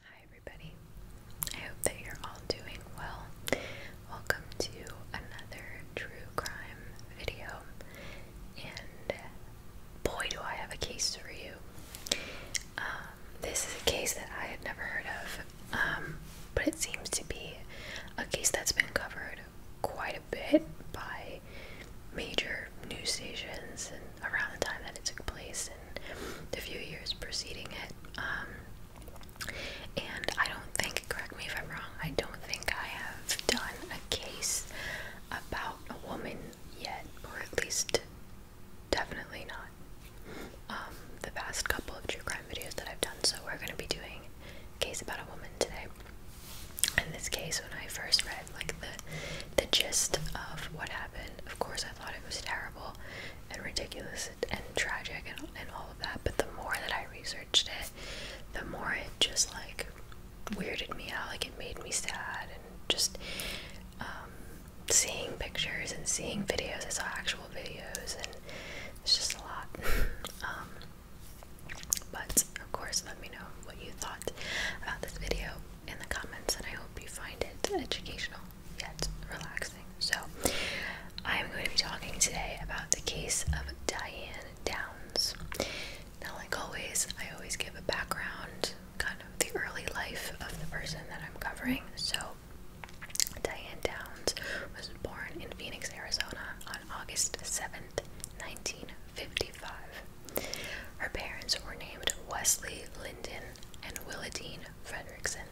Hi, everybody. I hope that you're all doing well. Welcome to another true crime video. And boy, do I have a case for you. Um, this is a case that I had never heard of um, but it seems to be a case that's been covered quite a bit by major news stations and around the time that it took place and the few years preceding it. Um, and I don't think, correct me if I'm wrong, I don't think I have done a case about a woman yet, or at least definitely not um, the past couple of true crime videos that I've done. So we're going to be doing case about a woman today. In this case, when I first read like the the gist of what happened, of course I thought it was terrible and ridiculous and tragic and, and all of that. But the more that I researched it, the more it just like weirded me out. Like it made me sad and just um, seeing pictures and seeing videos. I saw actual videos, and it's just a lot. Um, but of course, let me know what you thought about this video in the comments, and I hope you find it educational yet relaxing. So, I am going to be talking today about the case of Diane Downs. Now, like always, I always give a background, kind of the early life of the person that I'm covering. So, Diane Downs was born in Phoenix, Arizona on August seventh, 1955. Her parents were named Wesley Linden and Willadine Fredrickson.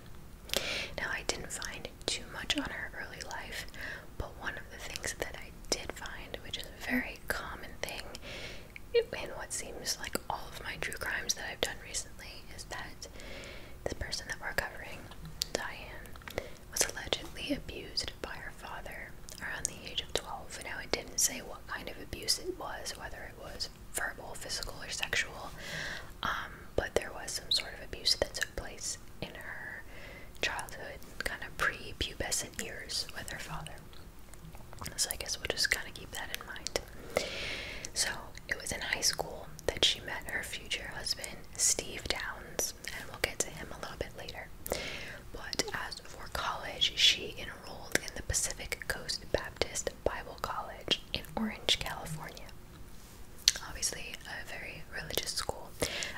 Now, I didn't find too much on her early life, but one of the things that I did find, which is a very common thing in what seems like all of my true crimes that I've done recently, is that that the person that we're covering, Diane, was allegedly abused by her father around the age of 12. Now, it didn't say what kind of abuse it was, whether it was verbal, physical, or sexual, um, but there was some sort of abuse that took place in her childhood, kind of pre pubescent years with her father. So, I guess we'll just kind of keep that in mind. So it was in high school that she met her future husband, Steve Downs, and we'll get to him a little bit later. But as for college, she enrolled in the Pacific Coast Baptist Bible College in Orange, California. Obviously, a very religious school.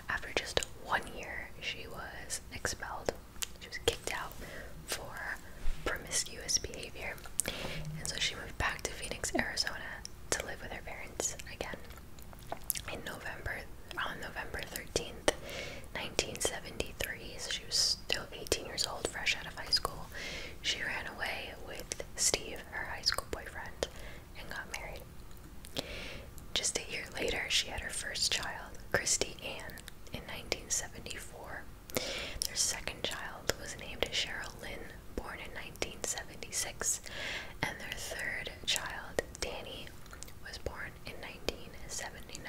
After just one year, she was expelled. She was kicked out for promiscuous behavior. And so she moved back to Phoenix, Arizona to live with her parents again. In November, on November 13th, 1973, she was still 18 years old, fresh out of high school, she ran away with Steve, her high school boyfriend, and got married. Just a year later, she had her first child, Christy Ann, in 1974. Their second child was named Cheryl Lynn, born in 1976, and their third child, Danny, was born in 1979.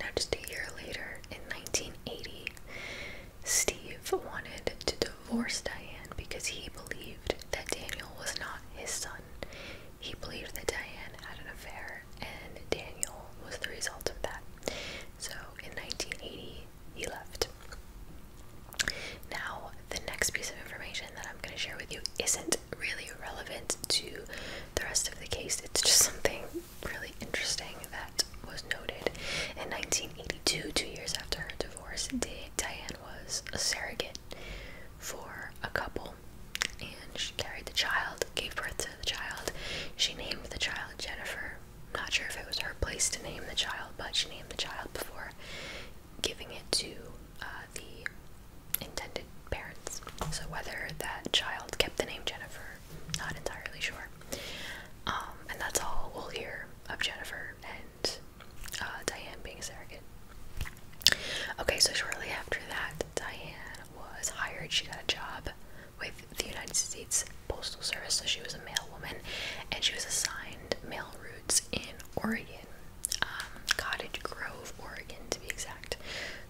Now, just a year later, in 1980, Steve wanted to divorce Diane because he believed that Daniel was not his son. He believed that Diane had an affair, and Daniel was the result of that. So in 1980, he left. Now, the next piece of information that I'm going to share with you isn't really relevant to the rest of the case. It's just something really interesting that was noted. In 1982, two years after her divorce, Diane was a surrogate for a couple and she carried the child, gave birth to the child. She named the child Jennifer. Not sure if it was her place to name the child, but she named the child before giving it to uh, the intended parents. So whether that child kept the name Jennifer, not entirely sure. Um, and that's all we'll hear of Jennifer and uh, Diane being a surrogate. Okay, so shortly after that, Diane was hired. She got a job with the United States Postal Service, so she was a mail woman, and she was assigned mail routes in Oregon, um, Cottage Grove, Oregon to be exact.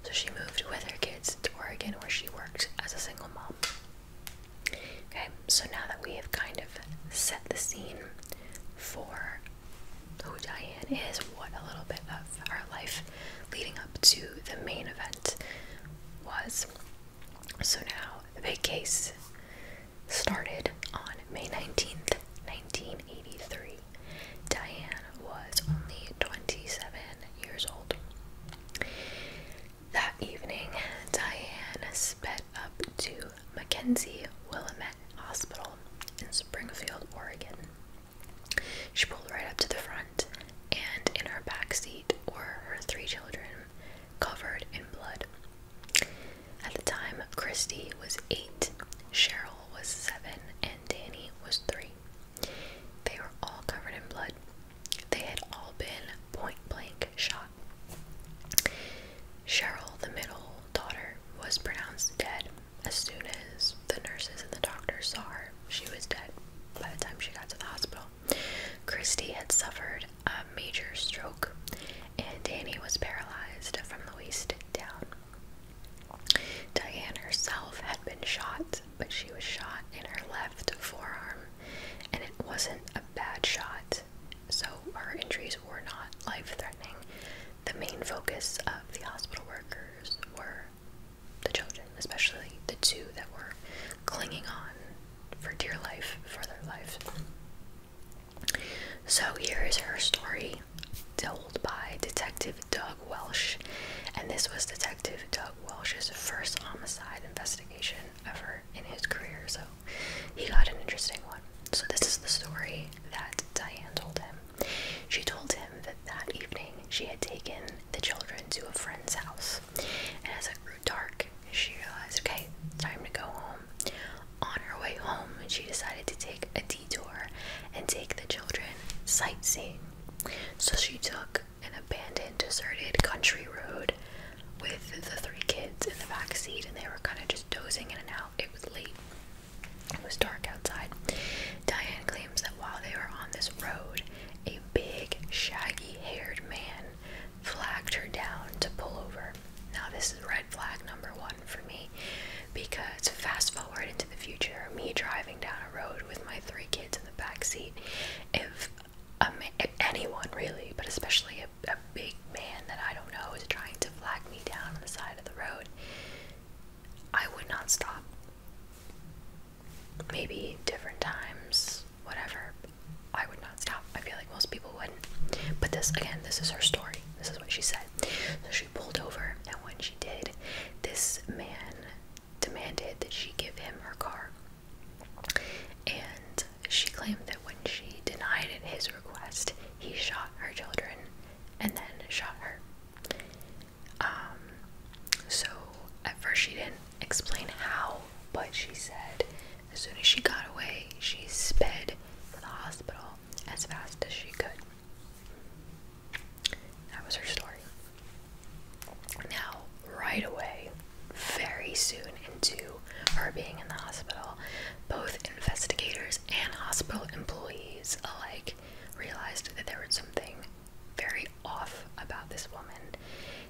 So she moved with her kids to Oregon where she worked as a single mom. Okay, so now that we have kind of set the scene for who Diane is, what a little bit of our life leading up to the main event was, so now the big case started on May 19th, 1983. Diane was only 27 years old. That evening, Diane sped up to McKenzie Willamette Hospital in Springfield, Oregon. She pulled right up to the front and in her back seat were her three children, covered in blood. At the time, Christy was eight, Cheryl was seven, and Danny was three. They were all covered in blood. They had all been point blank shot. Cheryl, the middle daughter, was pronounced dead as soon as the nurses and the doctors saw her. She was dead by the time she got to the hospital. Christy had suffered a major stroke, and Danny was paralyzed from the waist down. Diane herself had been shot, but she was shot in her left forearm, and it wasn't a bad shot, so her injuries were not life threatening. The main focus of the hospital workers were the children, especially the two that were clinging on for dear life for their life. So here is her story told by Detective Doug Welsh, and this was Detective Doug Welsh's first homicide investigation ever in his career, so he got an interesting one. So this is the story that Diane told him. She told him that that evening she had taken the children to a friend's house and as it grew dark, she realized, okay, time to go home. On her way home, she decided to take a detour and take the children sightseeing. So she took an abandoned, deserted country road with the three kids in the back seat, and they were kind of just dozing in and out. It was late. It was dark outside. Diane claims that while they were on this road, a big, shaggy haired man flagged her down to pull over. Now, this is red flag number one for me because fast forward into the future, me driving down a road with my three kids in the back seat, if, um, anyone really, but especially a big man that I don't know is trying to flag me down on the side of the road, I would not stop maybe different times, whatever. I would not stop. I feel like most people wouldn't. But this, again, this is her story. This is what she said. So she pulled over, and when she did, this man demanded that she give him her car. And she claimed that when she denied his request, he shot her children and then shot her. Um, so at first she didn't explain how, but she said as soon as she got away, she sped for the hospital as fast as she could. That was her story. Now, right away, very soon into her being in the hospital, both investigators and hospital employees alike realized that there was something very off about this woman.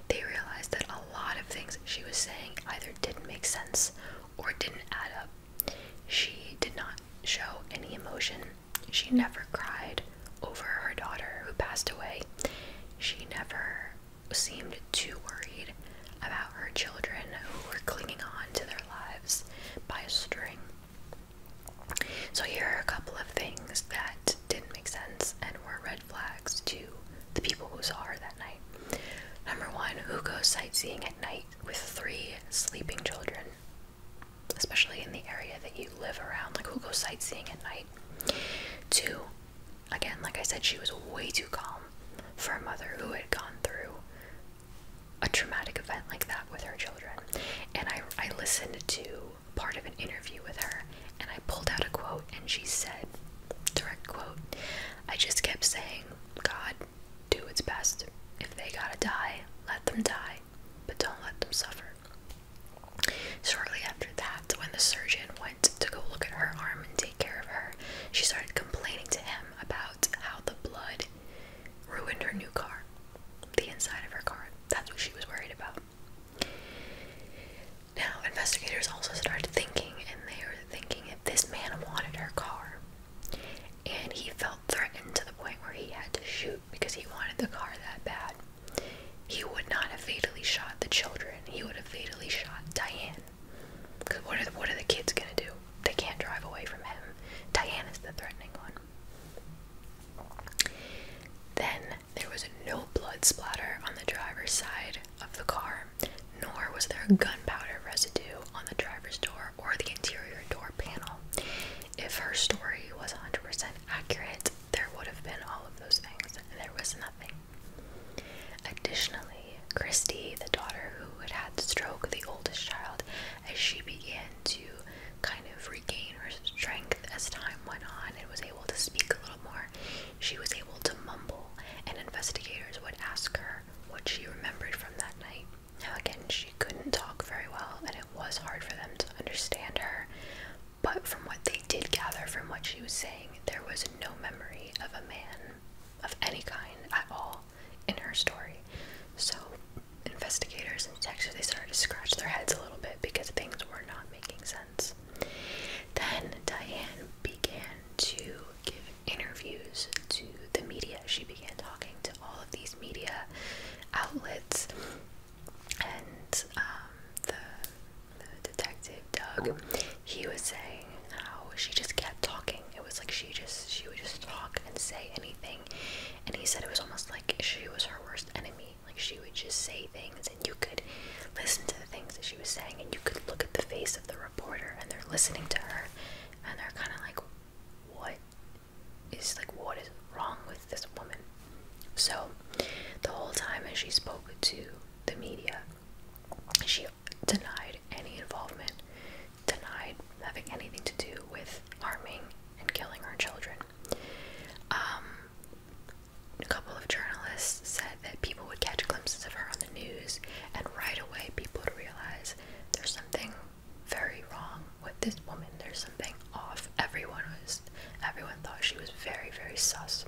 They realized that a lot of things she was saying either didn't make sense or didn't add up. She did not show any emotion. She never cried over her daughter who passed away. She never seemed too worried about her children who were clinging on to their lives by a string. So, here are a couple of things that didn't make sense and were red flags to the people who saw her that night. Number one, who goes sightseeing at night with three sleeping children? Especially in the area that you live around. Like, who goes sightseeing at night? Two, again, like I said, she was way too calm for a mother who had gone through a traumatic event like that with her children. And I, I listened to part of an interview with her, and I pulled out a quote, and she said, direct quote, I just kept saying, God, do its best. If they gotta die, let them die, but don't let them suffer. Shortly after that, when the surgeon went to go look at her arm and take care of her, she started complaining to him about how the blood ruined her new car, the inside of her car. That's what she was worried about. Now, investigators also started thinking, and they were thinking if this man wanted her car and he felt threatened to the point where he had to shoot because he wanted the car that bad, he would not have fatally shot the children. He would have fatally shot Diane. Because what, what are the kids going to do? They can't drive away from him. Diane is the threatening one. Then there was no blood splatter on the driver's side of the car, nor was there gunpowder residue on the driver's door or the interior door panel. If her story was 100% accurate, there would have been all of those things, and there was nothing. Additionally, Christy, the daughter who had had stroke, the oldest child, as she began to kind of regain her strength as time went on and was able able to speak a little more, she was able to mumble, and investigators would ask her what she remembered from that night. Now, again, she couldn't talk very well, and it was hard for them to understand her, but from what they did gather from what she was saying, there was no memory of a man of any kind at all in her story. So, investigators in Texas, they started to scratch their heads a little bit because things were not making sense. Then Diane began to give interviews to the media. She began talking to all of these media outlets, and um, the, the detective Doug, he was saying how she just kept talking. It was like she just she would just talk and say anything, and he said it was almost like she was her worst enemy. Like she would just say things, and you could listen to the things that she was saying, and you could look at the face of the reporter, and they're listening to her, and they're kind of like, "What is like what is wrong with this woman?" So the whole time as she spoke to the media, she denied any involvement, denied having anything to do with harming and killing our children. Um, a couple of journalists said that people would catch glimpses of her on the news, and right away people would realize there's something very wrong with this woman. There's something off. Everyone was, everyone thought she was very, very sus.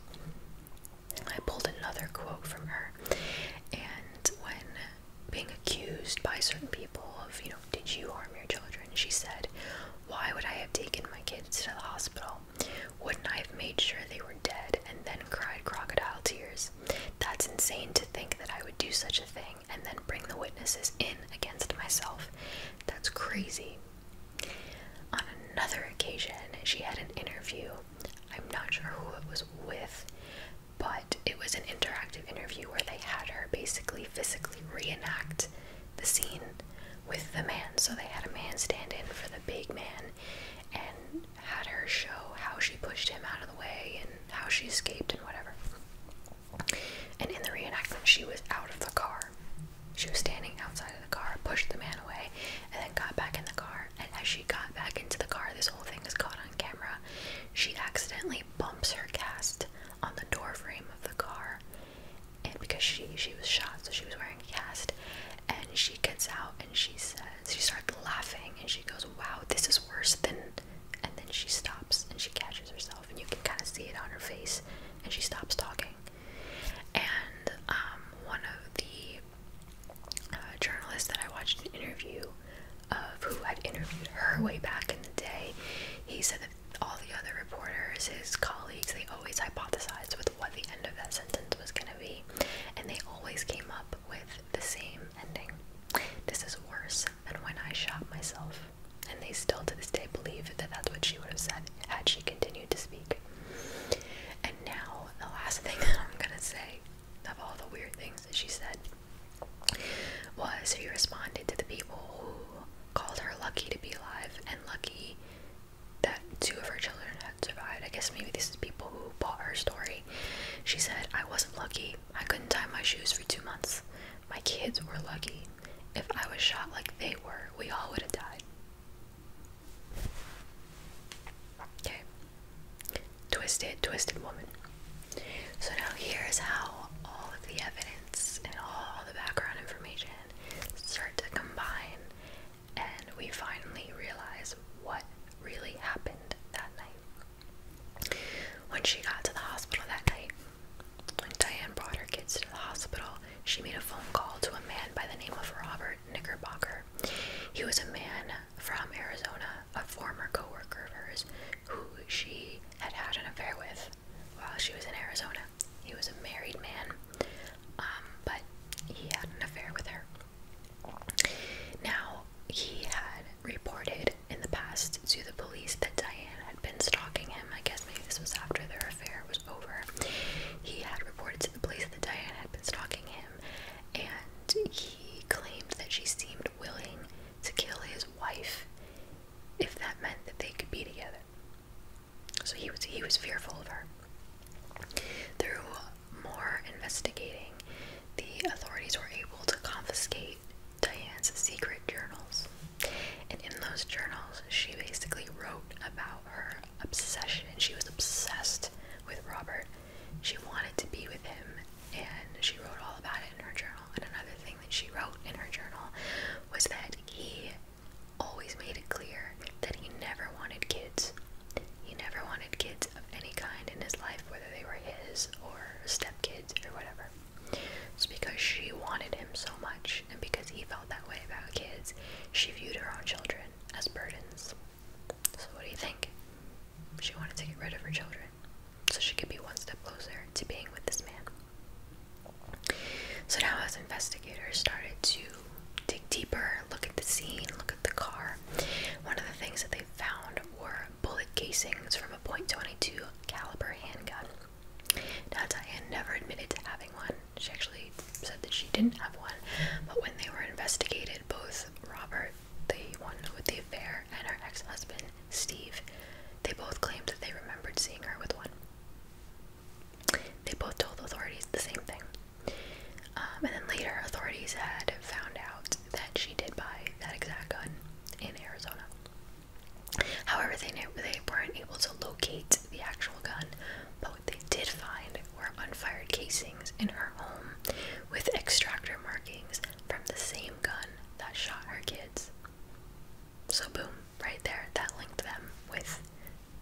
I pulled another quote from her, and when being accused by certain people of, you know, did you harm your children? And she said. Why would I have taken my kids to the hospital? Wouldn't I have made sure they were dead and then cried crocodile tears? That's insane to think that I would do such a thing and then bring the witnesses in against myself. That's crazy. On another occasion, she had an interview. I'm not sure who it was with, but it was an interactive interview where they had her basically physically reenact the scene with the man. So they had a man stand in for the big man and had her show how she pushed him out of the way and how she escaped and whatever. And in the reenactment, she was out of the car. She was standing outside of the car, pushed the man away, and then got back in the car. And as she got back into the car, this whole thing is caught on camera. She accidentally bumps her cast on the door frame of the car and because she she was shot, so she was wearing a cast. And she gets out and she says she starts laughing and she goes, "Wow, this is worse than." And then she stops and she catches herself, and you can kind of see it on her face. And she stops talking. And um, one of the uh, journalists that I watched an interview of who had interviewed her way back in the day, he said that all the other reporters, his colleagues, they always hypothesized with what the end of that sentence was going to be, and they always came up with the same ending. This is worse than when I shot myself. And they still to this day believe that that's what she would have said had she continued to speak. And now, the last thing that I'm gonna say of all the weird things that she said was he responded to the people who called her lucky to be alive and lucky that two of her children had survived. I guess maybe this is people who bought her story. She said, I wasn't lucky. I couldn't tie my shoes for two months. My kids were lucky. If I was shot like they were, we all would have died. Okay. Twisted, twisted woman. So now here's how all of the evidence and all the background information start to combine, and we finally realize what really happened that night. When she got to the hospital that night, when Diane brought her kids to the hospital, she made a phone call to a man by the name of Robert Knickerbocker. He was a man from Arizona, a former coworker of hers, who she had had an affair with while she was in Arizona. He was a married man, um, but he had an affair with her. Now, he had reported in the past to the police that Diane had been stalking him. I guess maybe this was after their affair was over. He had reported to the police that Diane had been stalking him, and he claimed that she seemed willing to kill his wife if that meant that they could be together. So he was he was fearful of her. Through more investigating, the authorities were able to confiscate Diane's secret journals. And in those journals, she basically wrote about her obsession. She was obsessed with Robert. She wanted to be with him, and she wrote all about it in her journal. And another thing that she wrote in her journal was that he always made it clear that he never wanted kids. He never wanted kids of any kind in his life, whether they were his or stepkids or whatever. It's because she wanted him so much, and because he felt that way about kids, she viewed her own children as burdens. So, what do you think? She wanted to get rid of her children so she could be one step closer to being with this man. So now, as investigators started to dig deeper, look at the scene, look at the car, one of the things that they found were bullet casings from a .22 caliber handgun. Now, Diane never admitted to having one. She actually said that she didn't have one, but when they were investigated, both Robert, the one with the affair, and her ex-husband Steve, they both claimed that they remembered seeing her with one. They both told authorities the same thing. Um, and then later, authorities had found out that she did buy that exact gun in Arizona. However, they, knew, they weren't able to locate the actual gun, but what they did find were unfired casings in her home with extractor markings from the same gun that shot her kids. So, boom, right there that linked them with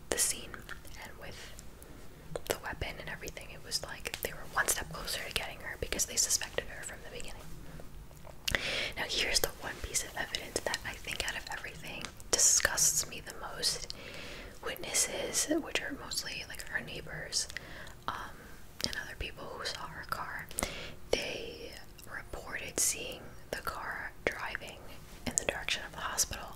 the scene and with the weapon and everything. It was like they were one step closer to getting her because they suspected her from the beginning. Now, here's the one piece of evidence that I think out of everything disgusts me the most. Witnesses, which are mostly like her neighbors um, and other people who saw her car, they reported seeing the car driving in the direction of the hospital,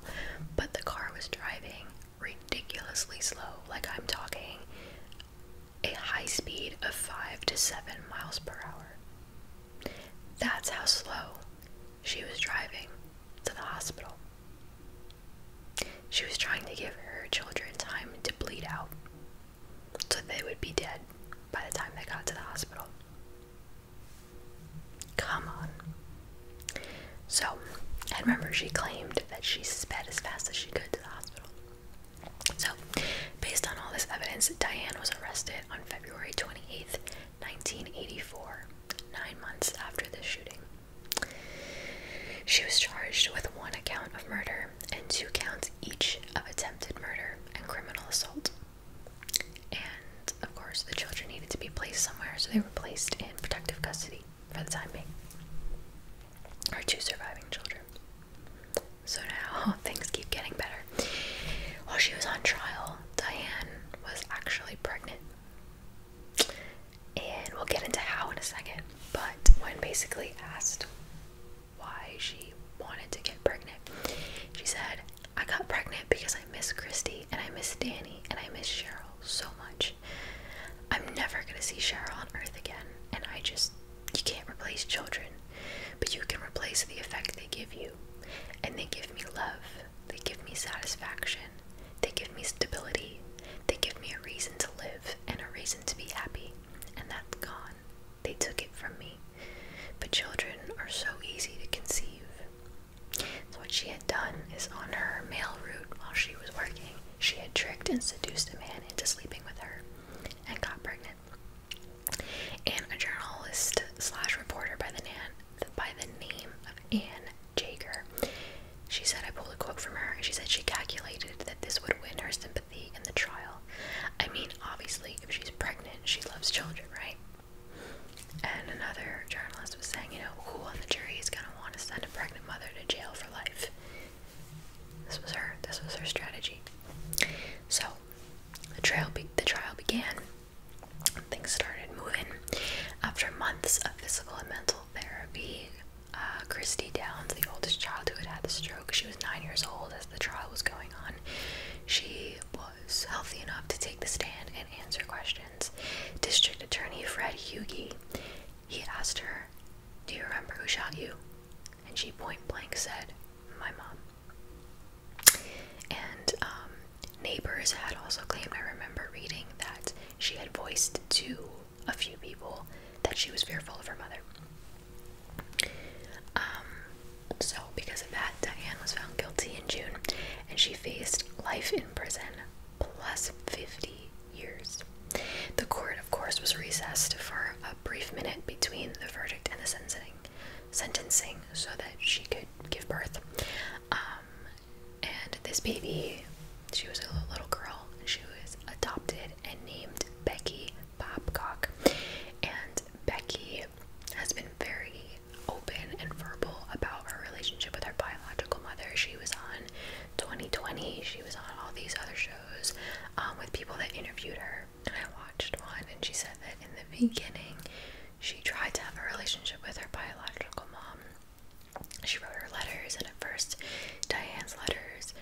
but the car was driving ridiculously slow. Like I'm talking a high speed of 5 to 7 miles per hour. That's how slow she was driving to the hospital. She was trying to give her children time to bleed out so they would be dead by the time they got to the hospital. Come on. So, I remember, she claimed that she sped as fast as she could to the hospital. So, based on all this evidence, Diane was arrested on February 28th, 1984, nine months after the shooting. She was charged with one count of murder and two counts each of attempted murder and criminal assault. And of course, the children needed to be placed somewhere, so they were placed in protective custody for the time being. Our two surviving children. So now things keep getting better. While she was on trial, Diane was actually pregnant. And we'll get into how in a second, but when basically asked why she wanted to get pregnant. She said, I got pregnant because I miss Christy and I miss Danny and I miss Cheryl so much. I'm never going to see Cheryl on earth again, and I just, you can't replace children, but you can replace the effect they give you. And they give me love, they give me satisfaction, they give me stability, they give me a reason to live and a reason to be happy, and that's gone. They took it from me. But children are so easy to conceive. what she had done is on her mail route while she was working, she had tricked and seduced a man into sleeping with her and got pregnant. And a journalist slash reporter by the, nan, by the name of Anne Jager, she said, I pulled a quote from her, and she said she calculated that this would win her sympathy in the trial. I mean, obviously, if she's pregnant, she loves children, right? And another journalist was saying, you know, who on the jury is going to want to send a pregnant mother to jail for life? This was her. This was her strategy. So the trial, the trial began. Things started moving. After months of physical and mental therapy, uh, Christy Downs, the oldest child who had had the stroke, she was nine years old as the trial was going on. She was healthy enough to take the stand and answer questions. District Attorney Fred Hughie, he asked her, "Do you remember who shot you?" And she point blank said, "My mom." And um, neighbors had also claimed. I remember reading that she had voiced to a few people that she was fearful of her mother. Um, so, because of that, Diane was found guilty in June and she faced life in prison plus 50 years. The court, of course, was recessed for a brief minute between the verdict and the sentencing, sentencing so that she could give birth. Um, and this baby, she was a little girl, and she was adopted and named Becky Bobcock, And Becky has been very open and verbal about her relationship with her biological mother. She was on 2020, she was on all these other shows um, with people that interviewed her. And I watched one, and she said that in the beginning, she tried to have a relationship with her biological mom. She wrote her letters, and at first, Diane's letters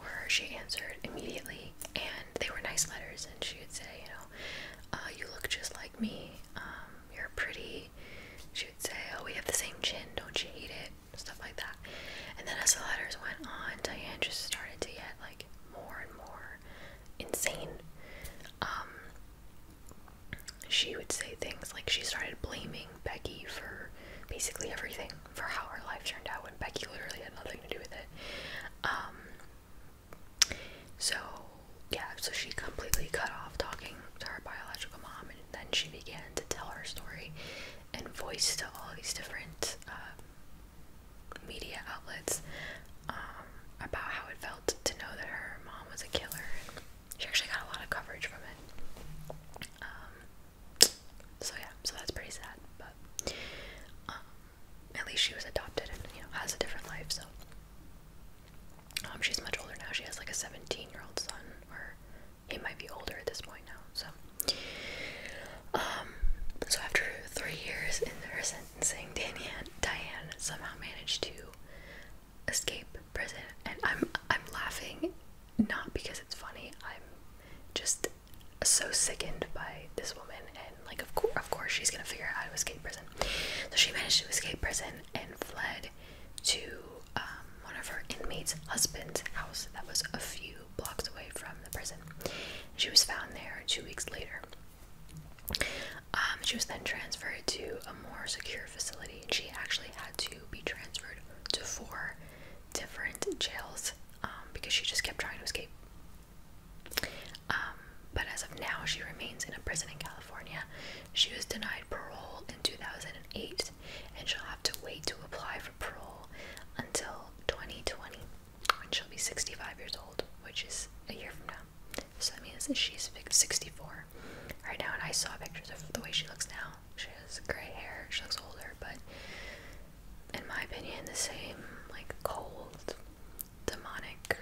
were she answered immediately, and they were nice letters and she would say you know uh, you look just like me um, you're pretty she would say oh we have the same chin don't you hate it stuff like that and then as the letters went on diane just started to get like more and more insane um, she would say things like she started blaming Becky for basically everything for how her life turned out when Becky literally had nothing to do with it. Um, so, yeah, so she completely cut off talking to her biological mom, and then she began to tell her story and voice to all these different um, media outlets um, about how it felt to know that her mom was a killer. And she actually got a lot of coverage from it. Um, so, yeah, so that's pretty sad, but at least she was adopted and you know has a different life. So um, she's much older now. She has like a 17-year-old son, or he might be older at this point now. So um, so after three years in her sentencing, Diane Diane somehow managed to escape prison, and I'm I'm laughing not because it's funny. I'm just so sickened by this woman, and like of course, she's gonna figure out how to escape prison. So she managed to escape prison and fled to um, one of her inmates' husband's house that was a few blocks away from the prison. She was found there two weeks later. Um, she was then transferred to a more secure facility, and she actually had to be transferred to four different jails um, because she just kept trying to escape um, but as of now, she remains in a prison in California. She was denied parole in 2008, and she'll have to wait to apply for parole until 2020 when she'll be 65 years old, which is a year from now. So that means she's 64 right now. And I saw pictures of the way she looks now. She has gray hair, she looks older, but in my opinion, the same like cold, demonic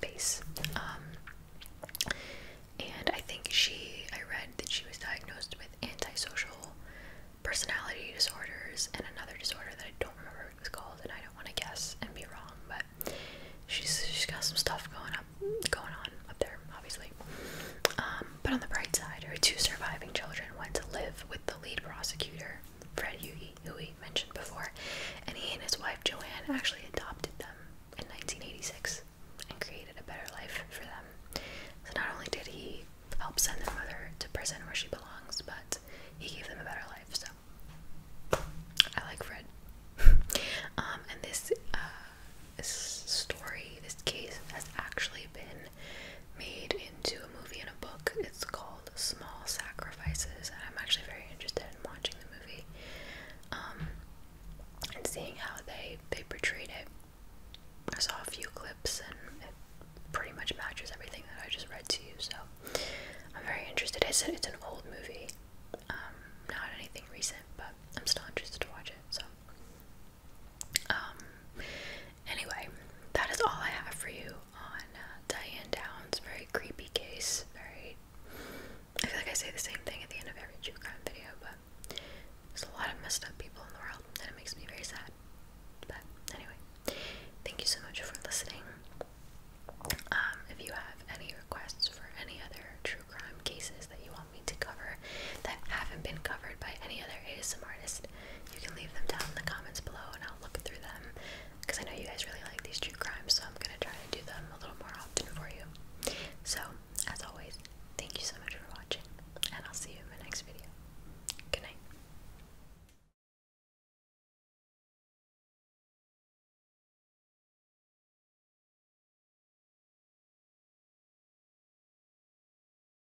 face. Um, and I think she, I read that she was diagnosed with antisocial personality disorders and another disorder that I don't remember what it was called, and I don't want to guess and be wrong, but she's she's got some stuff going up, going on up there, obviously. Um, but on the bright side, her two surviving children went to live with the lead prosecutor, Fred Huey, who we mentioned before, and he and his wife Joanne actually adopted them in 1986 and created a better life for them. So not only did he help send their mother to prison where she belongs, but he gave them a better life. So I like Fred. Um, and this uh, this story, this case has actually been made into a movie and a book. It's called Small Sacrifices, and I'm actually very interested in watching the movie um, and seeing how they they portrayed it. I saw a few clips, and it pretty much matches everything that I just read to you. So I'm very interested. It's it's an old movie, um, not anything recent, but I'm still interested to watch it. So um, anyway, that is all I have for you on uh, Diane Downs. Very creepy case. Very. I feel like I say the same thing at the end of every true crime video, but there's a lot of messed up people in the world, and it makes me very sad. But anyway, thank you so much for listening. Um, if you have any requests for any other true crime cases that you want me to cover that haven't been covered by any other ASM artist, you can leave them down in the comments below and I'll look through them because I know you guys really like these true crimes, so I'm going to try to do them a little more often for you. So, as always, thank you so much for watching, and I'll see you in my next video. Good night.